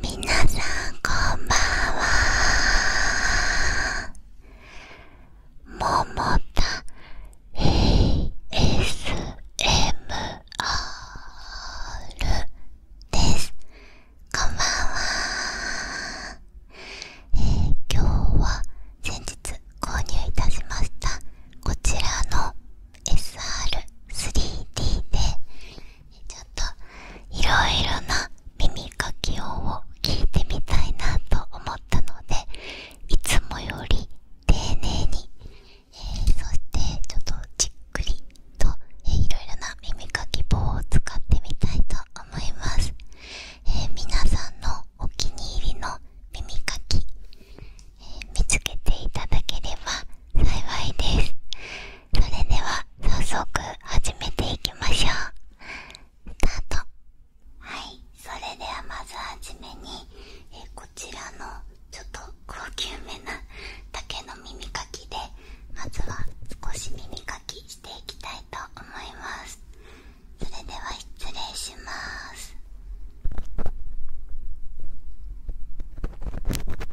みなさんこんばんはももた ASMR ですこんばんは、えー、今日は先日購入いたしましたこちらの SR3D でちょっといろいろな耳かきを聞いてみたいなと思ったのでいつもより丁寧に、えそしてちょっとじっくりと、えー、いろいろな耳かき棒を使ってみたいと思います、え皆さんのお気に入りの耳かき、え見つけていただければ幸いです。それでは早速始めていきましょうスタートはいそれではまずはじめにえこちらのちょっと高級めな竹の耳かきでまずは少し耳かきしていきたいと思いますそれでは失礼します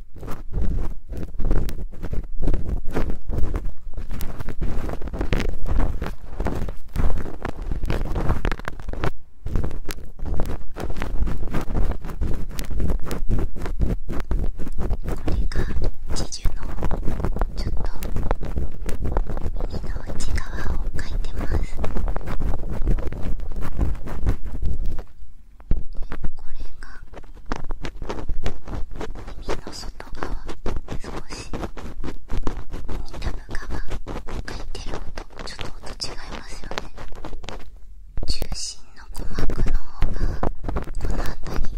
これがチのちょっと耳の内側を描いてます。でこれが耳の外側少し耳たぶ側がいてる音ちょっと音違いますよね中心の鼓膜の方がこの辺り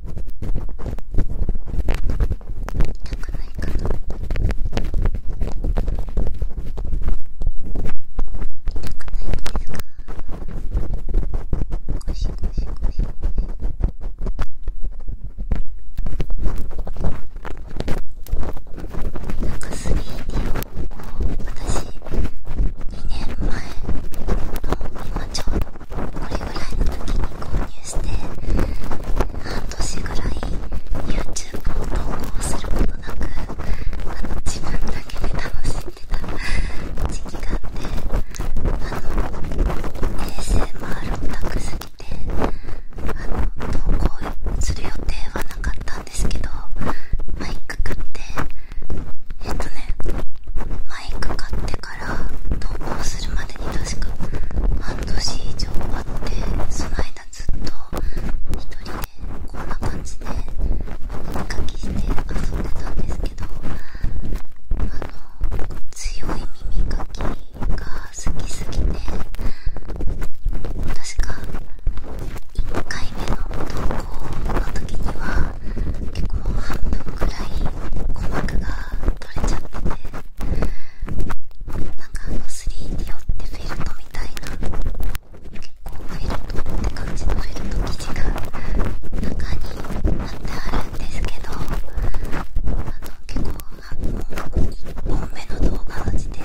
痛くないかな痛くないですかゴシゴシゴシゴシなんか 3D を私2年前の今ちょうどれぐらいの時に購入して半年ぐらい YouTube を投稿することなくあの自分だけで楽しんでた時期があってあの衛星回るオタクすぎてあの投稿する予定はなかったんですけどマイク買ってえっとねマイク買ってから投稿するまでに確か半年以上あってその間ずっと一人でこんな感じで耳かきして遊んでたんですけどあの強い耳かきが好きすぎて確か1回目の投稿の時には結構半分くらい鼓膜が取れちゃってて。なんかあの 3D 用ってフェルトみたいな結構フェルトって感じのフェルト生地が中になってあるんですけどあの結構1本目の動画の時点で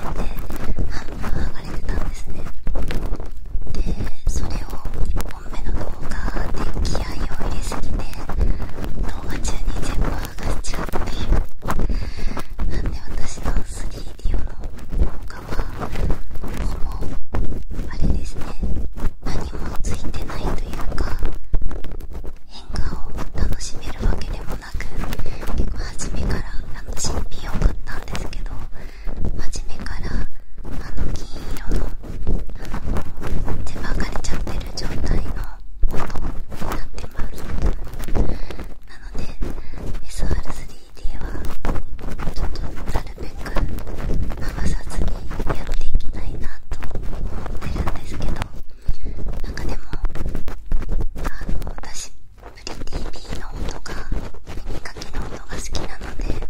半分剥がれてたんですねでそれを1本目の動画で気合を入れすぎて動画中に全部なんで私の 3D 用の動画はほぼあれですね何もついてないというか変化を楽しめるわけでもなく結構初めからあの新品を買ったんですけど初めからあの金色のあの手ばかりちゃってる状態のもになってますなので SR3D はちょっとなるべく剥がさずにやっていきたいなと思ってるんですけどなんかでもあの私プリ TV の音が耳かきの音が好きなので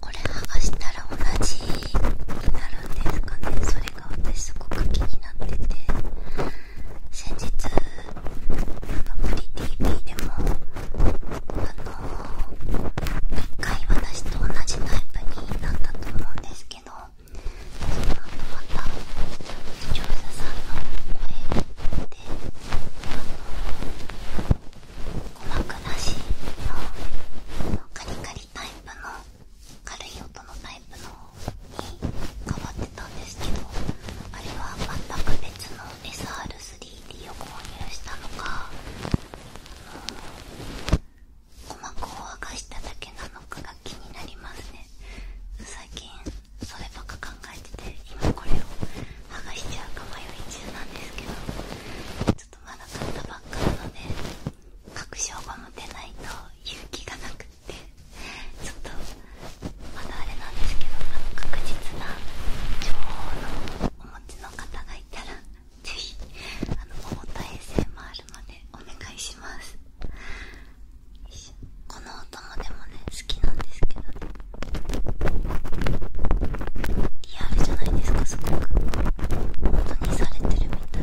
これ剥がしたら同じになるんですかねそれが私すごってて先日あのプリ TV でもあの一回私と同じタイプになったと思うんですけどその後また視聴者さんの声であの鼓膜なしのカリカリタイプの軽い音のタイプのに変わってたんですけどあれは全く別の SR3D を購入したのか鼓膜を剥がしただけなのかが気になりますね最近そればっか考えてて今これを剥がしちゃうか迷い中なんですけどちょっとまだ買ったばっかなので確証が持てないと勇気がなくってちょっとまだあれなんですけど確実な情報のお持ちの方がいたらぜひあの桃と衛星もあるまでお願いしますこのおもでもね好きなんですけどリアルじゃないですかすごく本当にされてるみたい。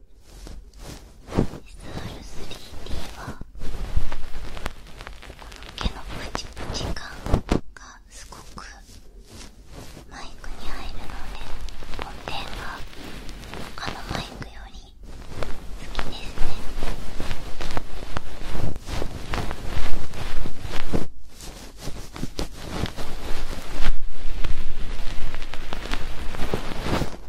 SR3D はこの毛のプチプチ感がすごくマイクに入るので音程が他のマイクより好きですねこ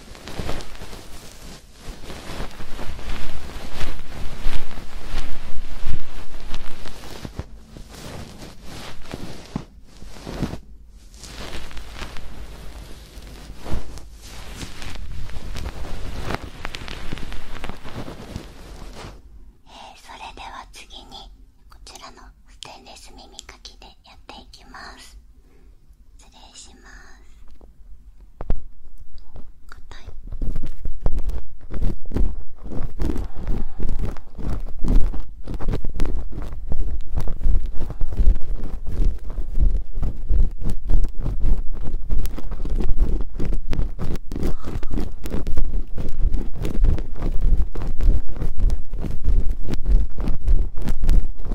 えそれでは次にこちらのステンレス耳かきでやっていきます失礼します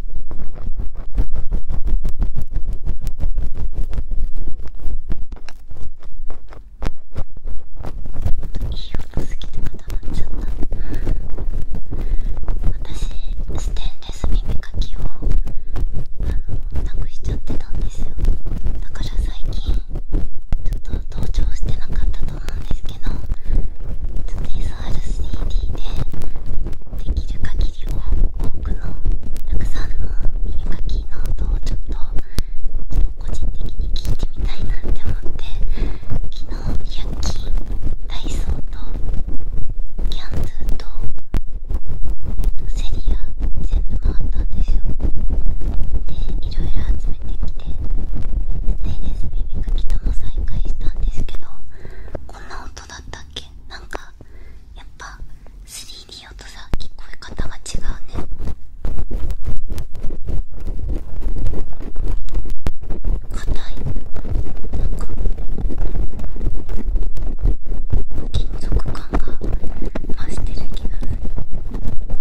いい音すぎてまたなっちゃった私ステンレス耳かきをなくしちゃってたんですよだから最近ちょっと登場してなかったと思うんですけど SR3D でできる限多くのたくさんの耳かきの音をちょっと個人的に聞いてみたいなって思って昨日100均ダイソーとキャンズーと,、セリア全部回ったんですよでいろいろ集めてきてステイレス耳かきとも再開したんですけどこんな音だったっけけなんかやっぱ 3D 用とさ聞こえ方が違うね硬いなんか金属感が増してる気がする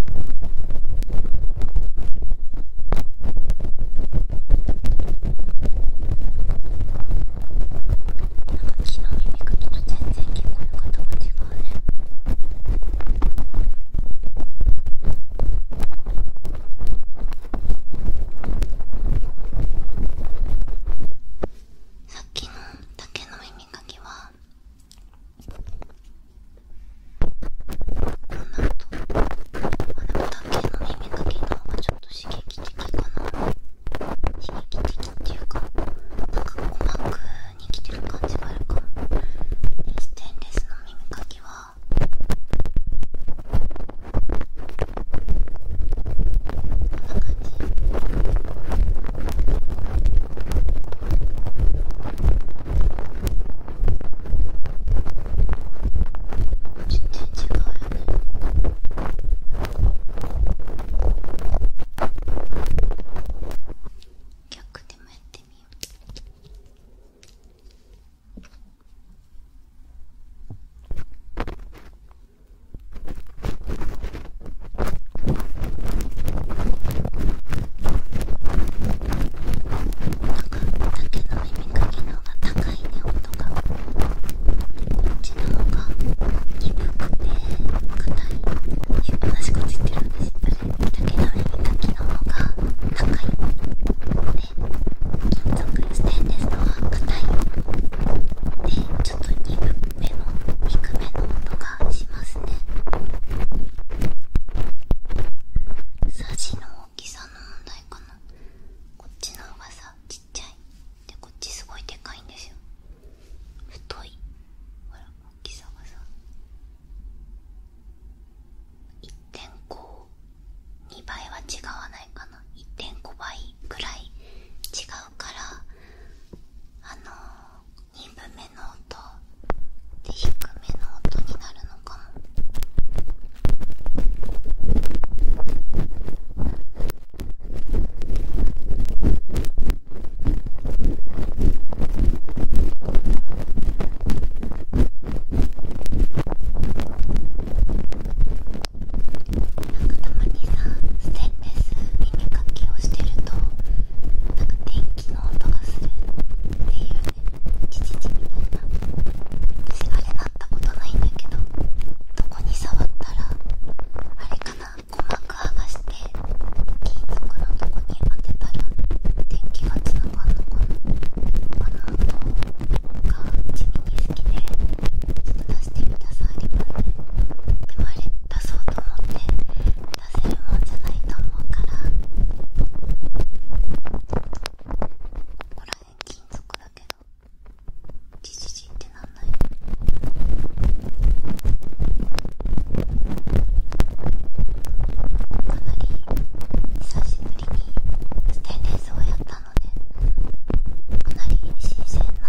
なんか木の耳かきと全然聞こえ方が違うねさっきの竹の耳かきはこんな音あで竹の耳かきの方がちょっと刺激的かな刺激的っていうかなんか鼓膜に来てる感じがあるかもステンレスの耳かきはこんな感じ耳違うよね逆でもやってみようなんか竹の耳かきの方が楽高音がこっちの方が鈍くて硬い私こっついてるんですだけど耳かきの方が高いね、金属ステンレスの方が硬いでちょっと鈍目の低めの音がしますねさじの大きさの問題かなこっちの方がさちっちゃいこっちすごいでかいんですよ太いほら大きさがさ1.52倍は違わないかな1.5倍ぐらい違うからあのー、2分目の音で低めの音になるのかもかたまにさステンレス耳かきをしてるとなんか電気の音がするっていうねチチチみたいな触ったことないんだけどどこに触ったらあれかな鼓膜剥がして金属のとこに当てたら電気がつながるのかなあのか地味に好きでちょっと出してみたさりますねでもあれ出そうと思って出せるもんじゃないと思うからここら辺金属だけど。じじじってなんなかなり久しぶりにステンレスをやったのでかなり新鮮な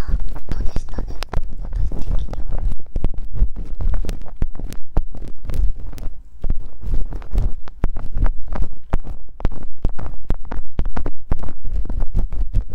音でしたね私的には。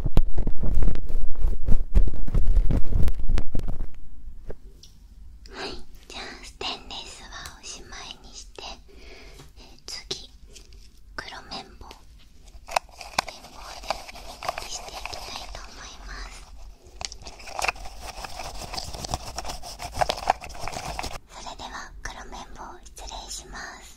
はいじゃあステンレスはおしまいにして、え次黒綿棒綿棒で耳かきしていきたいと思いますそれでは黒綿棒失礼します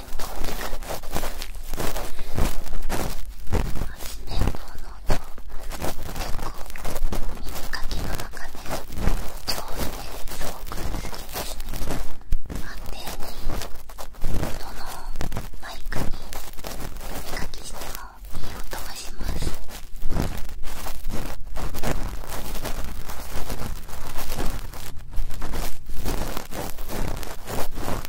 年棒でくる八年棒の音結構耳かきの中で上手ですごく好きです安定にどのマイクに耳かきしてもいい音がします綿棒だった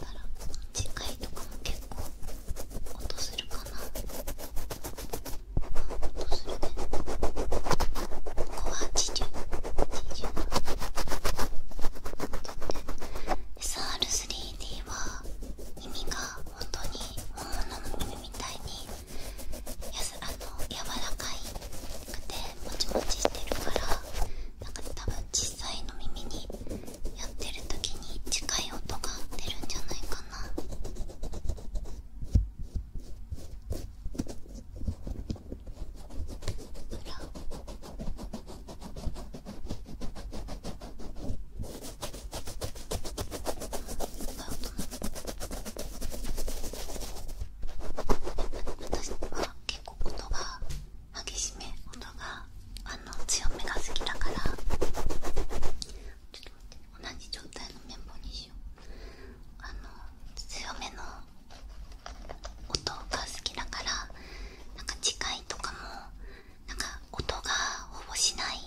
ら次回とかも結構音するかな。ここはって SR3D は耳が本当に本物の耳みたいにやすあの柔らかくてもちもちしてるからなんか多分小さいの耳にやってる時に近い音が出るんじゃないかな。私は結構音が激しめ音があの強めが好きだからちょっと待って。同じ状態の綿棒にしようあの強めの音が好きだからなんか次回とかもなんか音がほぼしない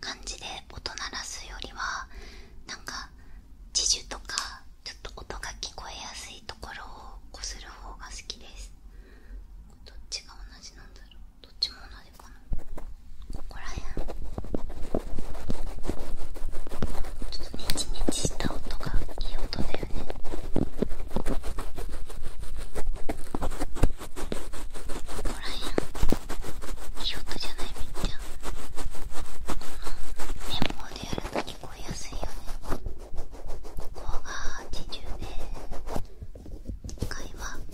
感じで音鳴らすよりはなんか自重とかちょっと音が聞こえやすいところをこする方が好きですどっちが同じなんだろうどっちここらん。ちょっとネチネチした音がいい音だよねここらん。辺いい音じゃないみっちゃん綿棒でやると聞こえやすいよねここが自重でかいわ。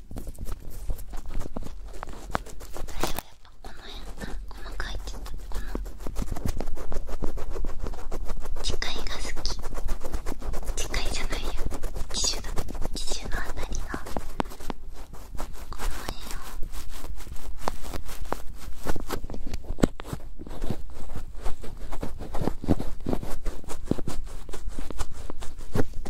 最はやっぱこの辺が細かいってったこの機械が好き機械じゃないや機種だ機種のあたりがこの辺を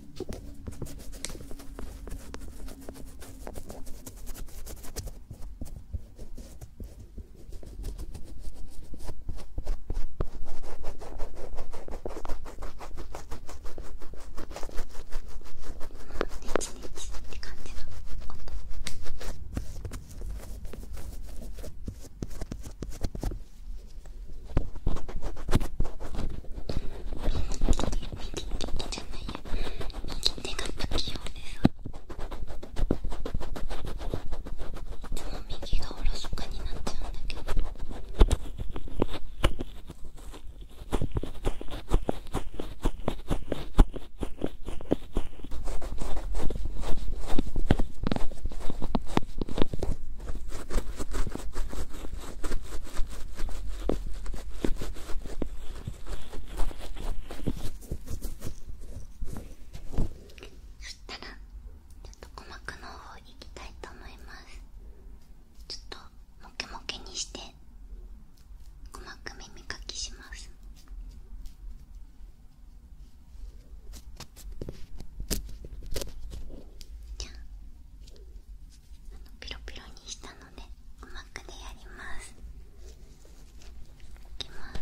チネチって感じの音。手が不器用ですいつも右がおろそかになっちゃうんだけどこそしたらちょっと鼓膜の方行きたいと思いますちょっとモケモケにして鼓膜耳かきしますじゃあピロピロにしたのでうまくでやりますいきます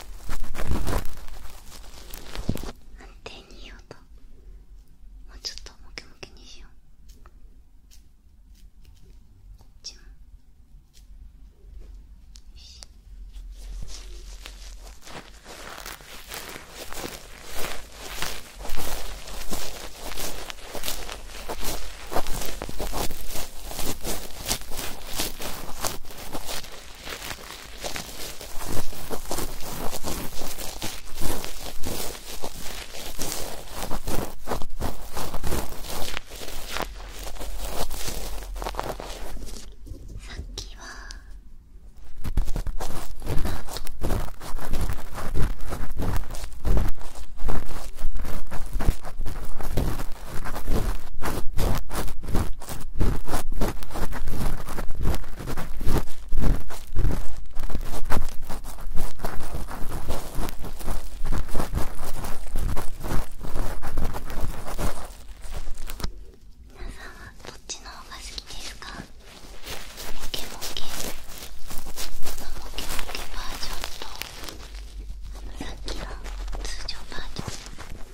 安定にいようともうちょっとムキムキにしようこっちもよしさっきはこの皆さんはどっちの方が好きですかモケモケモケモケバージョンとさっきの通常バージョン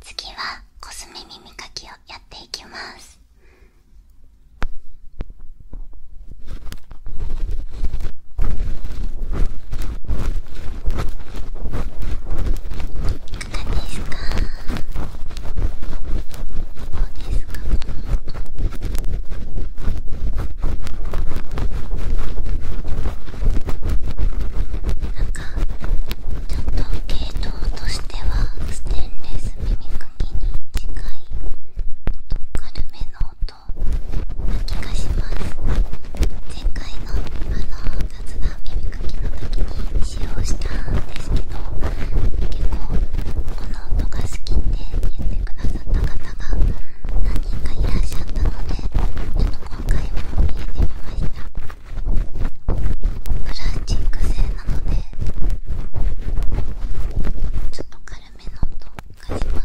次はコスメ耳かきをやっていきますどうですかなんかちょっと系統としてはステンレス耳かきに近い軽めの音な気がします前回のあの雑談耳かきの時に習をしたんですけど結構この音が好きって言ってくださった方が何人かいらっしゃったのでちょっと今回も入れてみましたプラスチック製なのでちょっと軽めの音がします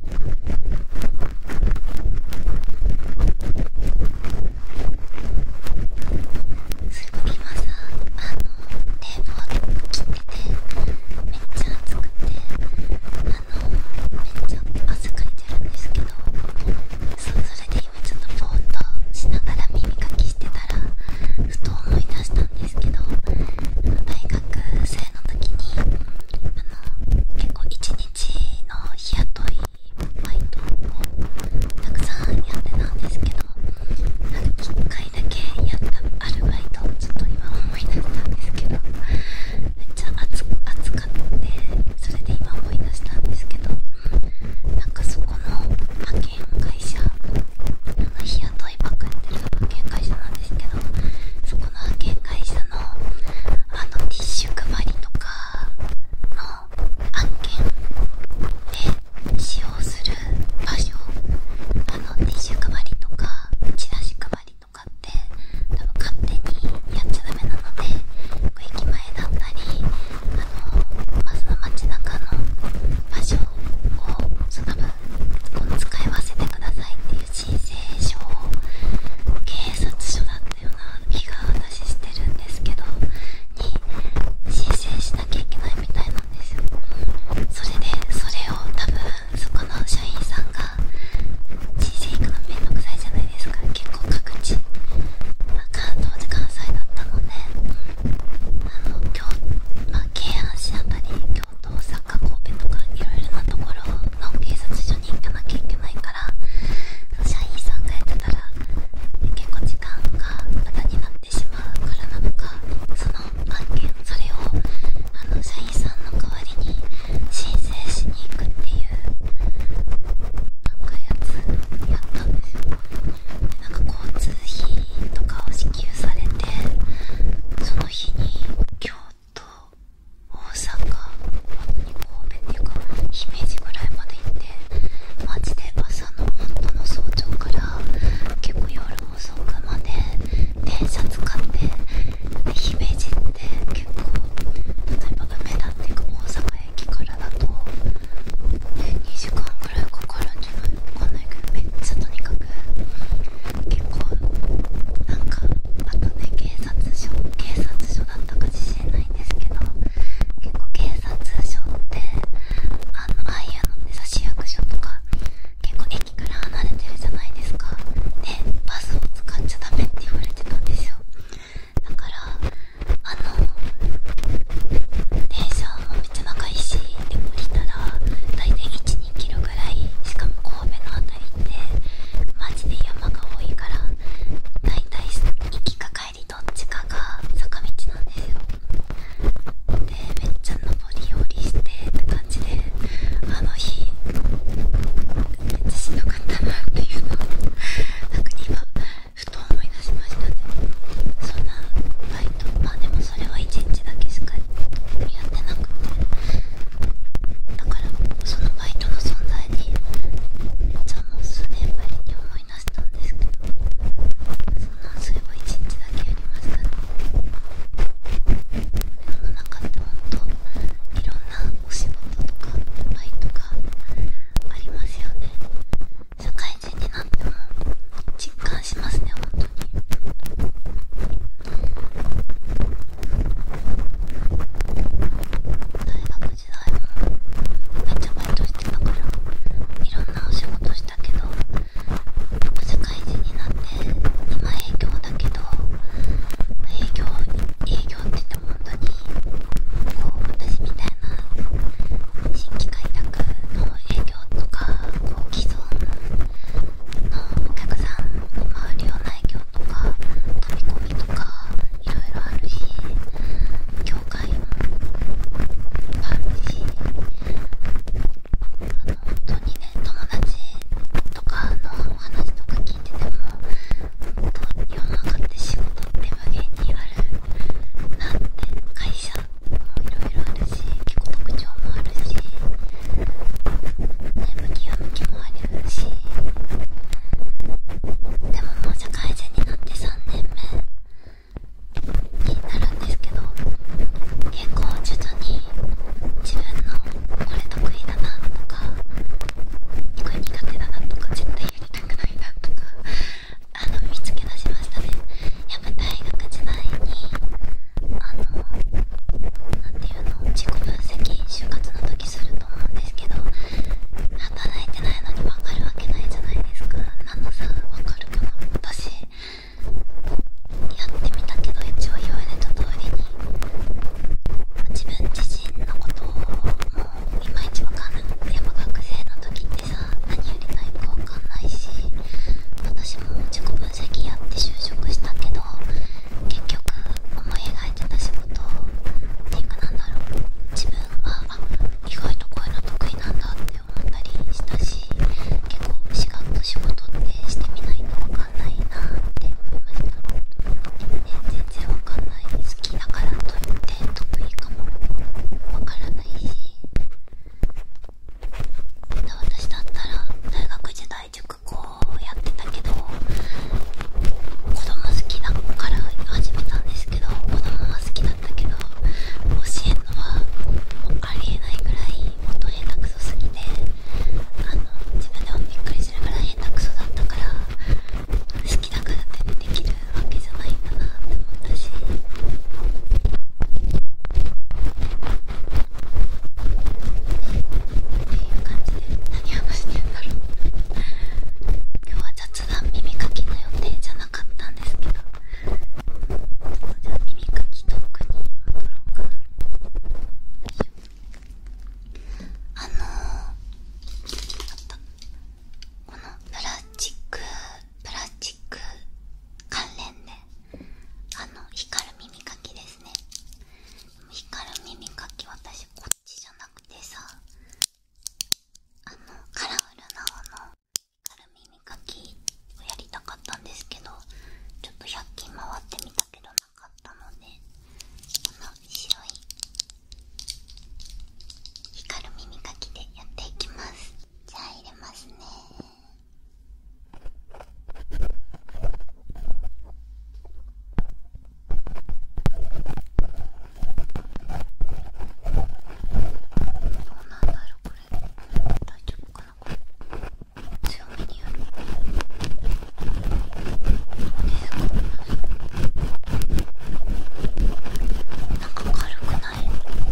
今さあのテープを切っててめっちゃ熱くてあのめっちゃ汗かいてるんですけどそれで今ちょっとぼーっとしながら耳かきしてたらふと思い出したんですけど大学生の時にあの結構12ちの日雇いバイトをたくさんやってたんですけどなんか1回だけやったアルバイトをちょっと今思い出したんですけどめっちゃ暑暑かって。それで今思い出したんですけどなんかそこの派遣会社あの日雇いばっかやってる派遣会社なんですけどそこの派遣会社のあのティッシュ配りとかの案件で使用する場所あのティッシュ配りとかチラシ配りとかって多分勝手にやっちゃダメなので駅前だったりあのまずは街中の場所をその分こう使い分けてくださいっていう人生証警察署だったような気が私してるんですけどに申請しなきゃいけないみたいなんですよそれでそれを多分そこの社員さんが申請行くのめんどくさいじゃないですか結構各地関東で関西だったのであの京まあ京阪市あたり京都大阪神戸とかいろいろなところの警察署行かなきゃいけないから社員さんがやってたら結構時間が無駄になってしまうからなのかその案件それをあの社員さんの代わりに申請しに行くっていうなんかやつやったんですなんか交通費とかを支給されてその日にと大阪本当に方面っていうか姫路ぐらいまで行って街で朝の本当の早朝から結構夜遅くまで電車使ってで姫路って結構例えば梅田っていうか大阪駅からだと、2時間ぐらいかかるんじゃないわかんないけどめっちゃとにかく結構なんかあとね警察署警察署所だったか自信ないんですけど結構警察署ってあのああいうのね市役所とか結構駅から離れてるじゃないですかねバスを使っちゃダメって言われてたんですよだからあの電車もめっちゃ長いしで降りたら大体12キロぐらいしかも神戸の辺りってマジで山が多いからだいたい行きか帰りどっちかが坂道なんですよでめっちゃ登り降りしてって感じであの日めっちゃしんどかったなっていうのをなんか今ふと思い出しましたねそんなバイトまあでもそれは1日だけしかやってなくてだからそのバイトの存在にめっちゃもう数年ぶりに思い出したんですけどそんなそういえば一日だけやりましたね世の中って本当といろんなお仕事とかバイトがありますよね社会人になっても実感しますね本当に。大学時代もめちゃバイトしてたからいろんなお仕事したけど社会人になって今営業だけど営業営業って言っても本当にこう私みたいな新規開拓の営業とかこう既存のお客さんを回るような営業とか飛び込みとかいろいろあるし境界もあるしあの本当にね友達とかのお話とか聞いてても本当世の中って仕事って無限にあるなって会社もいろいろあるし結構特徴もあるし。ね、向きは向きもあるしでももう社会人になって3年目になるんですけど結構徐々に自分のこれ得意だなとかこれ苦手だなとか絶対やりたくないなとかあの見つけ出しましたねやっぱ大学時代にあの何ていうの自己分析就活のすると思うんですけど働いてないのに分かるわけないじゃないですかなんのさ分かるかな私やってみたけど一応言われた通りに自分自身のことをもういまいち分かんない。てや学生の時ってさ何よりないか分かんないし私も自己分析やって就職したけど結局思い描いてた仕事っていうかなんだろう自分は意外とこういうの得意なんだって思ったりしたし結構しがっと仕事ってしてみないと分かんないなって思いました、全然分かんない好きだからといって得意かも分からないし私だったら大学時代塾校やってたけど子供好きだから始めたんですけど子供は好きだったけど教えるのはありえないぐらい元下手くそすぎてあの自分でもびっくりするぐらい下手くそだったから好きだからってできるわけじゃないんだなって思ったし。っていう感じで何話してんだろう今日は雑談耳かきの予定じゃなかったんですけどじゃあ耳かき特に戻ろうかなあのー、あったこのプラスチックプラスチック関連であの光る耳かきですね光る耳かき私こっちじゃなくてさあのカラフルな方の光る耳かきをやりたかったんですけどちょっと100均回ってみたけどなかったのでこの白い光る耳かきでやっていきますじゃあ入れますねーなんだろうこれ大丈夫かなこれ強めにやるどうですかなんか軽くない大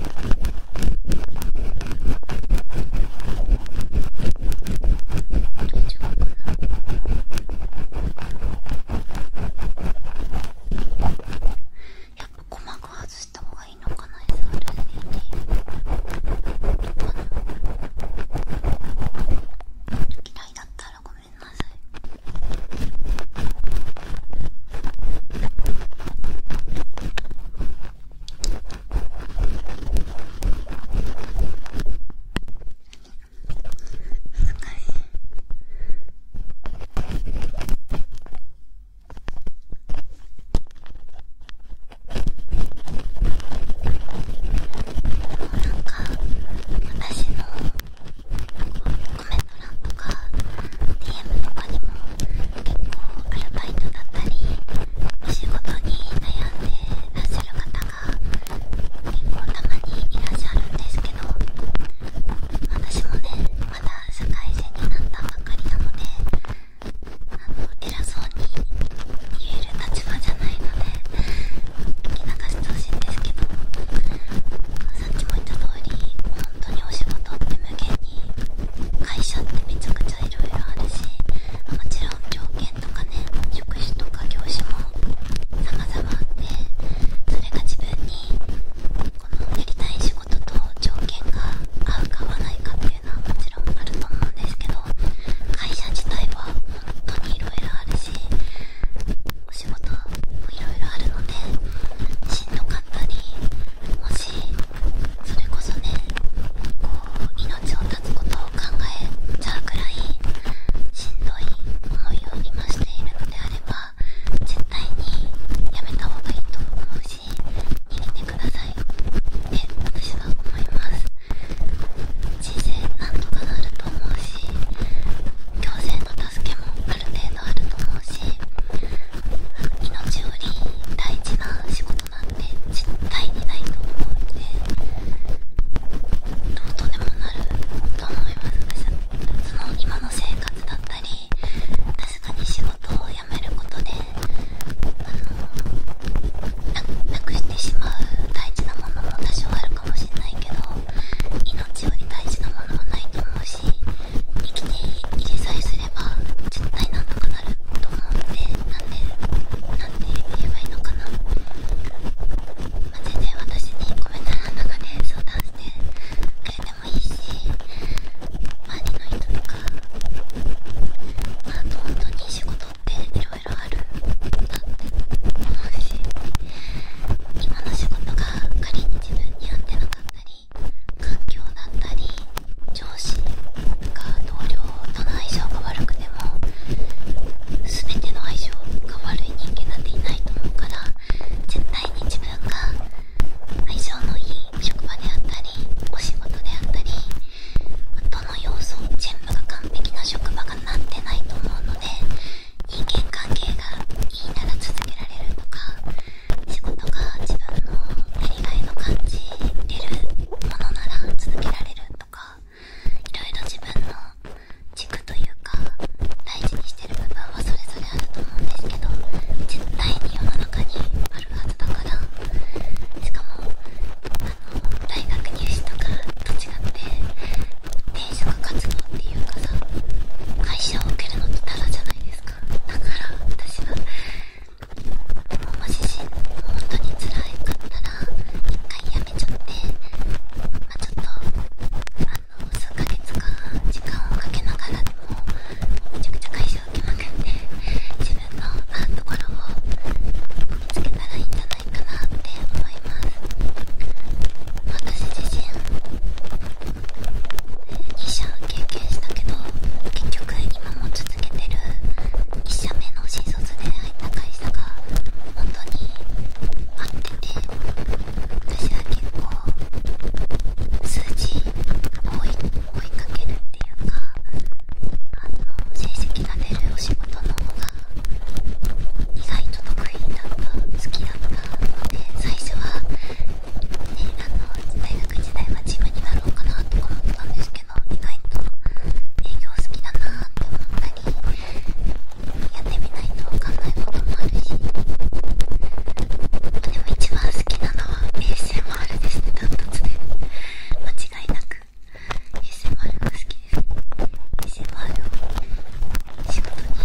丈夫かなやっぱ鼓膜外した方がいいのかな SRCD とか嫌いだったらごめんなさいすっかりなんか私のコメント欄とか DM とかにも結構アルバイトだったりお仕事に悩んでらっしゃる方が結構たまにいらっしゃるんですけど。私もねまだ社会人になったばかりなのであの偉そうに言える立場じゃないので聞き流してほしいんですけどさっきも言った通り本当にお仕事って無限に会社ってめちゃくちゃいろいろあるしもちろん条件とかね職種とか業種も様々あってそれが自分にこのやりたい仕事と条件が合うか合わないかっていうのはもちろんあると思うんですけど会社自体は本当に色々あるしお仕事も色々あるのでしんどかったりもしそれこそねこう命を絶つことを考えちゃうくらいしんどい思いを今しているのであれば絶対にやめた方がいいと思うし逃げてくださいって私は思います人生なんとかなると思うし行政の助けもある程度あると思うし命より大事な仕事なんて絶対にないと思うのでどうとでもなると思います私はその今の生活だったり確かに仕事を辞めることであのなくしてしまう大事なものも多少あるかもしれないけど命より大事なものはないと思うし生きていれさえすれば絶対なんとかなると思うのでなんでなんて言えばいいのかな。全然私にごめんなさいなんかね相談してくれてもいいし周りの人とかまあ本当に仕事って色々あるなって思うし今の仕事が仮に自分に合ってなかったり環境だったり上司とか同僚との相性が悪くても全ての相性が悪い人間なんていないと思うから自分が相性のいい職場であったりお仕事であったりどの要素全部が完璧な職場がなってないと思うので人間関係がいいなら続けられるとか仕事が自分のやりがいの感じれるものなら続けられるとかいろいろ自分の軸というか大事にしてる部分はそれぞれあると思うんですけど絶対に世の中にあるはずだからしかもあの大学入試とかと違って転職活動っていうかさ会社を受けるのってタダじゃないですかだから私はもし本当につらかったら一回辞めちゃってまあちょっと数ヶ月間時間をかけながらでもめちゃくちゃ会社受けまくって自分のあところを見つけたらいいんじゃないかなって思います私自身2社経験したけど結局今も続けてる1社目の新卒で入った会社が本当に合ってて私は結構数字を追いかけるっていうかあの成績が出るお仕事の方が意外と得意だった好きだったので最初は、ね、あの大学時代はジムになろうかなとか思ったんですけど意外と営業好きだなって思ったり。やってみないとわかんないこともあるしでも一番好きなのは ASMR ですね断トツで間違いなく ASMR が好きです ASMR を仕事にで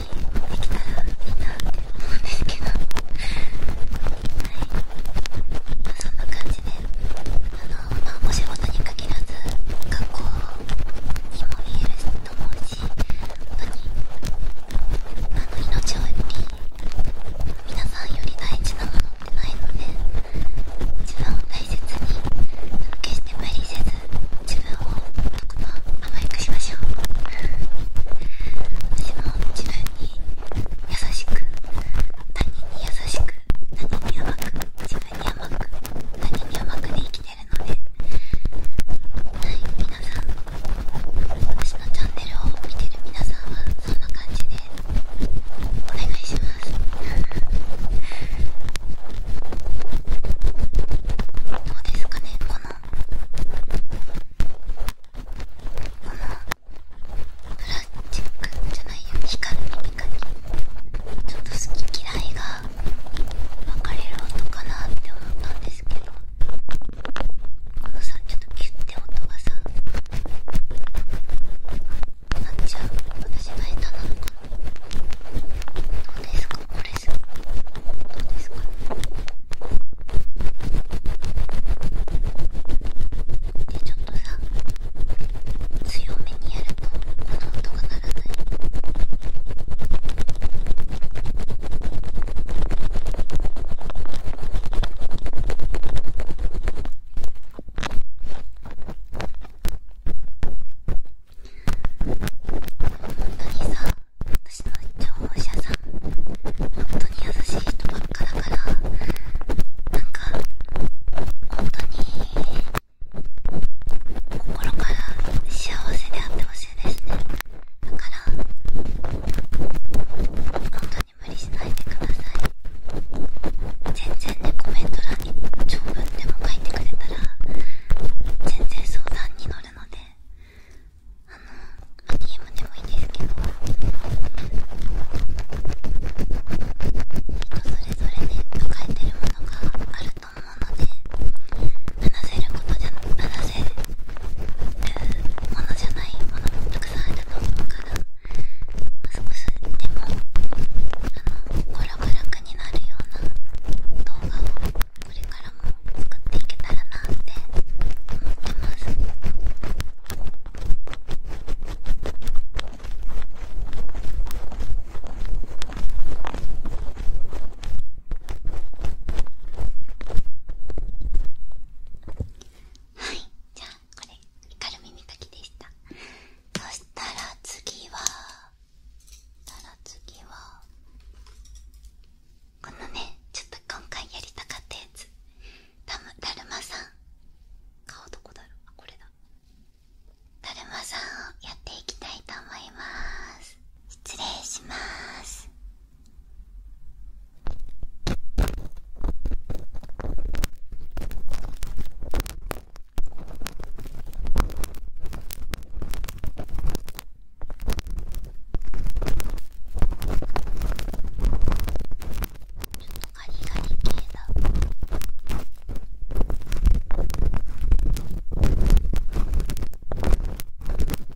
きたらいいなって思うんですけどはい、まあ、そんな感じであの、まお仕事に限らず学校にも見えると思うしし本当にあの命より皆さんより大事なものってないので自分を大切に決して無理せず自分をとことん甘やかしましょう私も自分に優しく他人に優しく他人に甘く自分に甘く他人に甘くで生きてはい、皆さん、私のチャンネルを見てる皆さんはそんな感じでお願いします。どうですかね、この、このプラスチックじゃないよ、光る光。ちょっと好き嫌いが分かれる音かなって思ったんですけどこのさちょっとキュッて音がさなっちゃう私が下手なのかなどうですかこれさどうですかでちょっとさ強めにやるとこの音が鳴らない。本当にさ私の聴者さん本当に優しい人ばっかだからなんか本当に心から幸せであってほしいですねだから本当に無理しないでください全然ねコメント欄に長文でも書いてくれたら全然相談に乗るのであの DM でもいいんですけど人それぞれね抱えてるものがあると思うので話せることじゃ話せものじゃないものもたくさんあると思うから、ま少しでもあの心が楽になるような動画をこれからも作っていけたらなって思ってます。はいじゃあこれ軽耳かきでしたそしたら次はそしたら次はこのねちょっと今回やりたかったやつだむだるまさん顔どこだろうあこれだだるまさんをやっていきたいと思います失礼します。ガリガリ系だ。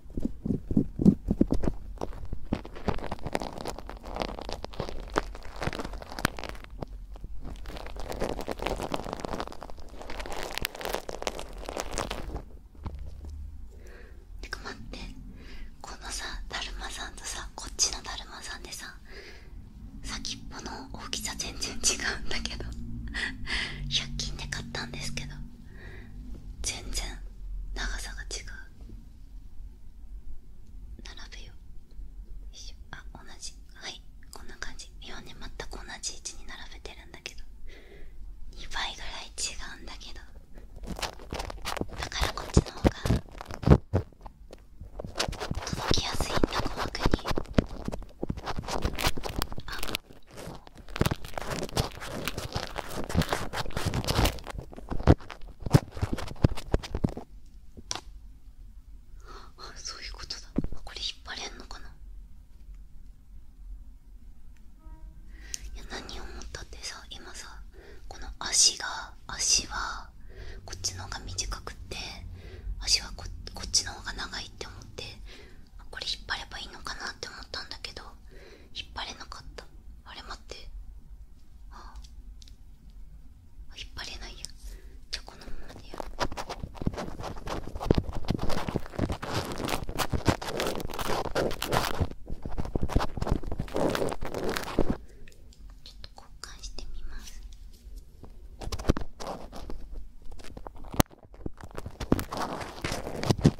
てか待ってこのさだるまさんとさこっちのだるまさんでさ先っぽの大きさ全然違うんだけど100 均で買ったんですけど全然長さが違う並べよう一緒あ同じはいこんな感じ今で全く同じ位置に並べてるんだけど2倍ぐらい違うんだけどだからこっちの方が届きやすいんだ細かにああそういうことだこれ引っ張れんのかないや何を思ったってさ今さこの足が足はこっちの方が短くって足はここっちの方が長いって思ってこれ引っ張ればいいのかなって思ったんだけど引っ張れなかったあれ待ってああ引っ張れないやじゃこのままでやるちょっと交換してみます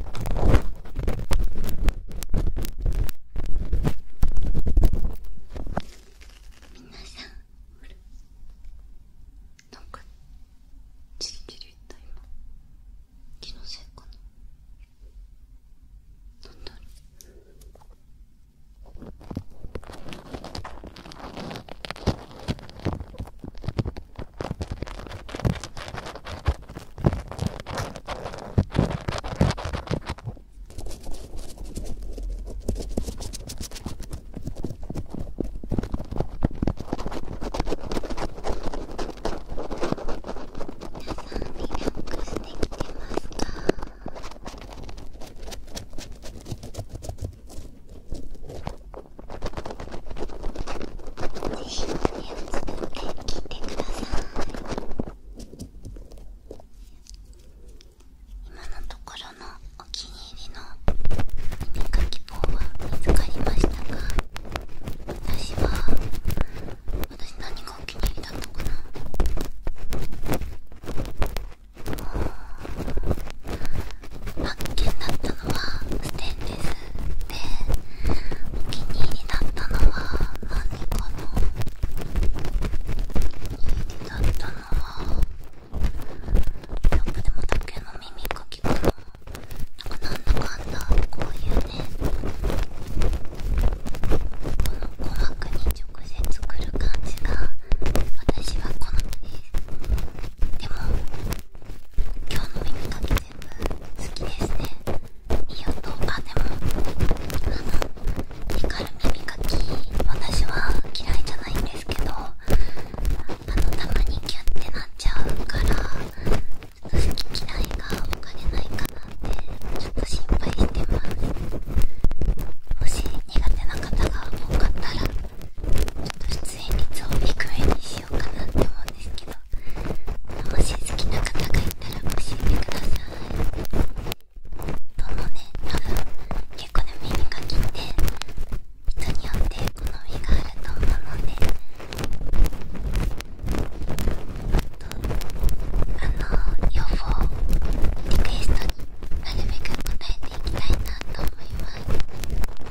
さんなんかちりちりった今気のせいかななんだろうかぜひとりあえず聞いてください今のところのお気に入りの耳かき棒は見つかりましたが。私は私何がお気に入りだったかな発見だったのはステンレスでお気に入りだったのは何かなお気に入りだったのはやっぱでも竹の耳かきかななんだかんだこういうねこの鼓膜に直接来る感じが私は好みですでも今日の耳かき全部好きですねいい音あでもあの光る耳かき私は嫌いじゃないんですけどあのたまにキュッてなっちゃうからちょっと好き嫌いが分かれないかなってちょっと心配してますもし苦手な方が多かったらちょっと出演率を低めにしてしようかなって思うんですけどもし好きな方がいたら教えてくださいどのね多分結構ね目にかきって人によって好みがあると思うのでとあの予防リクエストになるべく答えていきたいなと思います。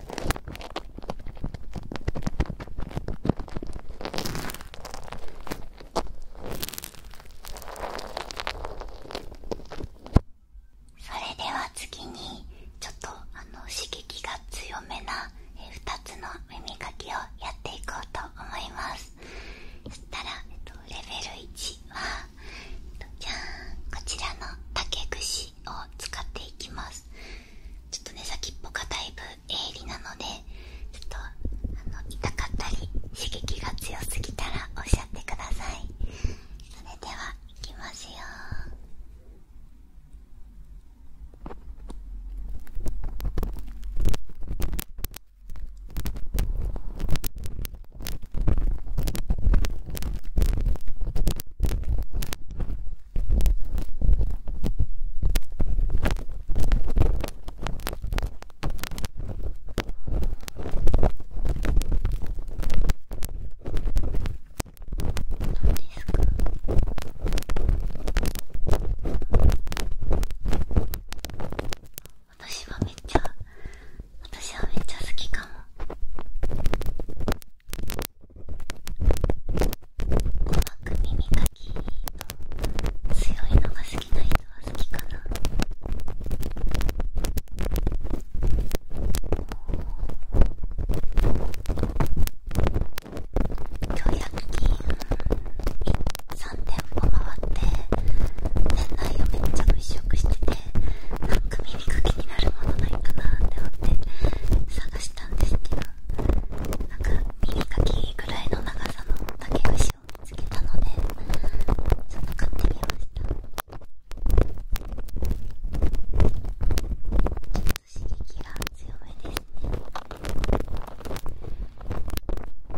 それでは次にちょっと刺激が強めな2つの耳かきをやっていこうと思いますそしたら、レベル1は、じゃんこちらの竹串ジを使っていきますちょっとね先っぽがだいぶ鋭利なのでちょっとあの痛かったり刺激が強すぎたらおっしゃってくださいそれではいきますよこですか私はめっちゃ私はめっちゃ好きかもく耳かきの強いのが好きな人は好きかな今日100 3店舗回って店内をめっちゃ物色しててなんか耳かきになるものないかなって思って探してしたんですけどなんか耳かきぐらいの長さの竹串を見つけたのでちょっと買ってみましたちょっと刺激が強めですねこ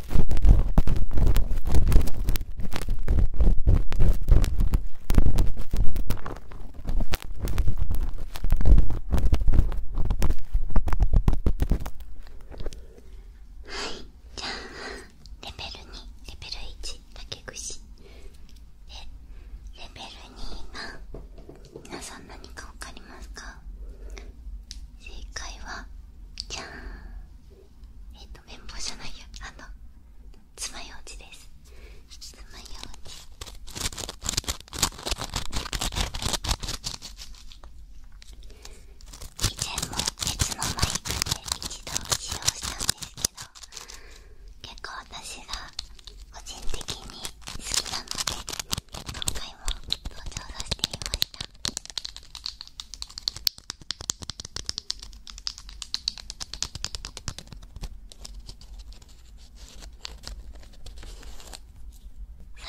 はいじゃあレベル2レベル1竹串でレベル2が、皆さん何か分かりますか正解はじゃんえっ、と綿棒じゃないよあのつまようじですつまようじ以前も別のマイクで一度使用したんですけど結構私が個人的に好きなので今回も登場させていました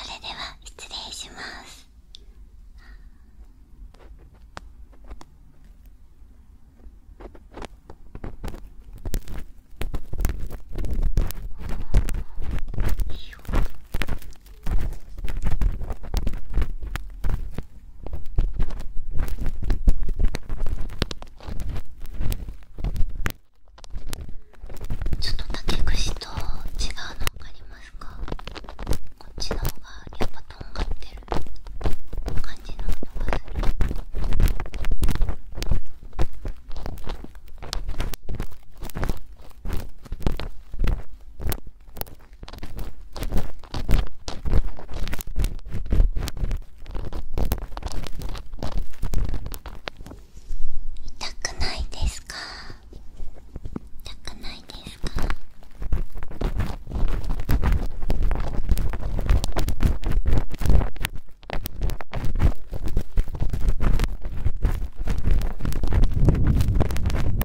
それでは失礼しますよちょっと竹串と違うの分かりますかこっちの方がやっぱとんがってる感じの音がする痛くないですか痛くないですか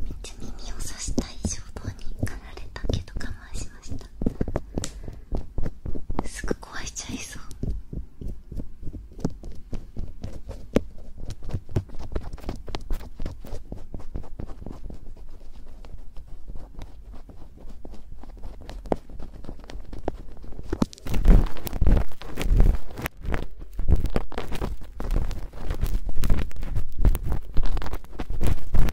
めっちゃ耳をさしたい衝動に駆られたけど我慢すぐ壊しちゃいそう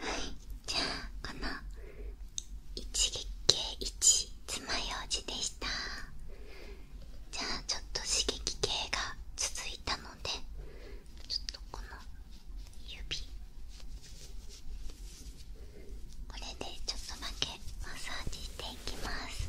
はい、じゃあこの一撃一つまようじでした。じゃあちょっと刺激系が続いたのでちょっとこの指これでちょっとだけマッサージしていきます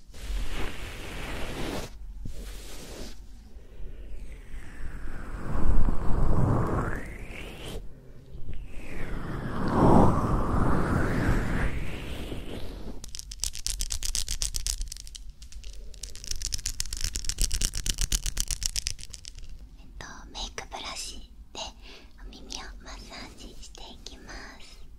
えっとメイクブラシでお耳をマッサージしていきます。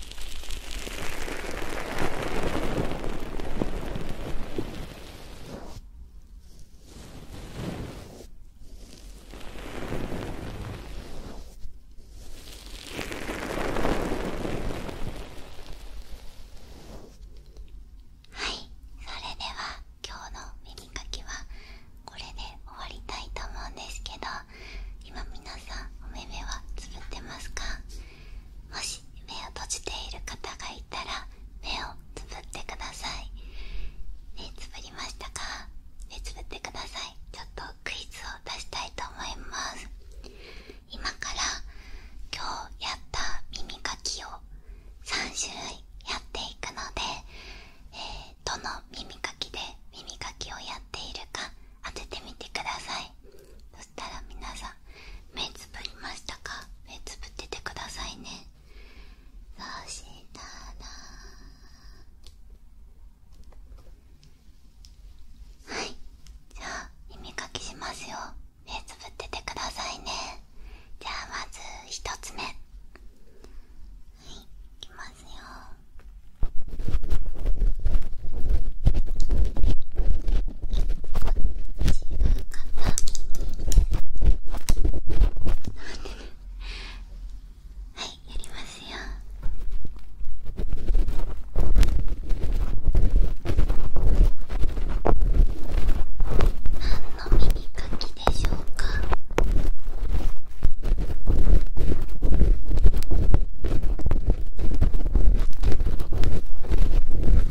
はい、それでは今日の耳かきはこれで終わりたいと思うんですけど今皆さんお目目はつぶってますかもし目を閉じている方がいたら目をつぶってください目つぶりましたか目つぶってくださいちょっとクイズを出したいと思います今から今日やった耳かきを3種類やっていくので、えどの耳かきで耳かきをやっているか当ててみてくださいそしたら皆さん目つぶりましたか目つぶっててくださいねそしたらはいじゃあ耳かきしますよ目つぶっててくださいねじゃあまず1つ目はいいきますよ違うなはいやりますよ何の耳かきでしょうか耳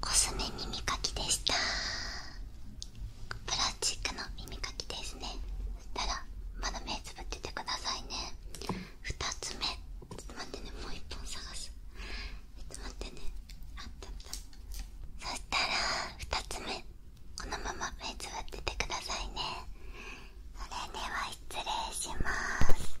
コスメ耳かきでしたプラスチックの耳かきですねそしたらまだ目つぶっててくださいね2つ目ちょっと待ってねもう1本探すちょっと待ってねあったあったそしたら2つ目このまま目つぶっててくださいねそれでは失礼します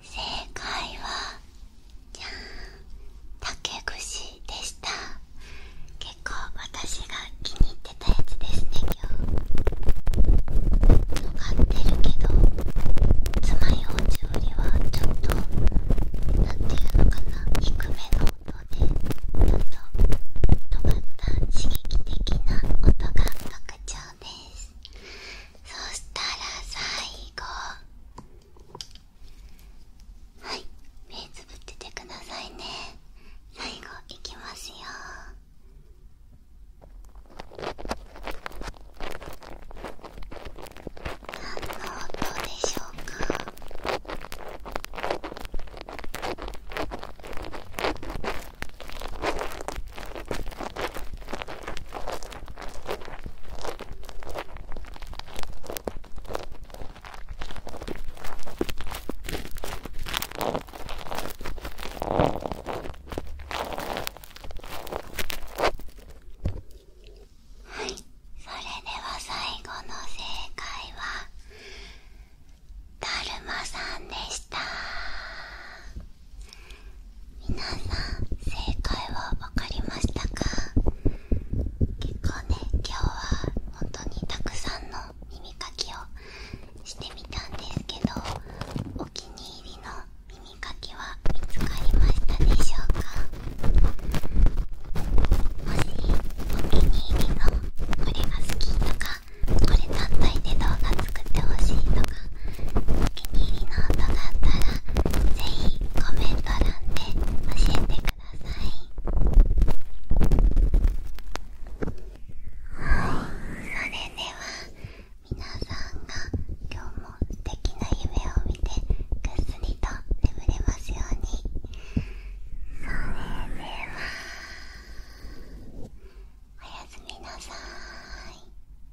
正解はじゃん、竹串でした結構私が気に入ってたやつですね今日がってるけどつまようじよりはちょっとなんていうのかな低めの音でちょっと尖った刺激的な音が特徴です。そしたら最後はい目つぶっててくださいね最後いきますよ何の音でしょうかはいそれでは最後の正解はだるまさんでした皆さん正解はわかりましたか結構ね今日は本当にたくさんの耳かきをしてみたんですけどお気に入りの耳かきは見つかりましたでしょうかもしお気に入りのこれが好きとかこれ単体で動画作ってほしいとかお気に入りの音があったらぜひコメント欄で教えてくださいはいそれでは皆さんが今日も素敵な夢を見てぐっすりと眠れますようにそれではおやすみなさーい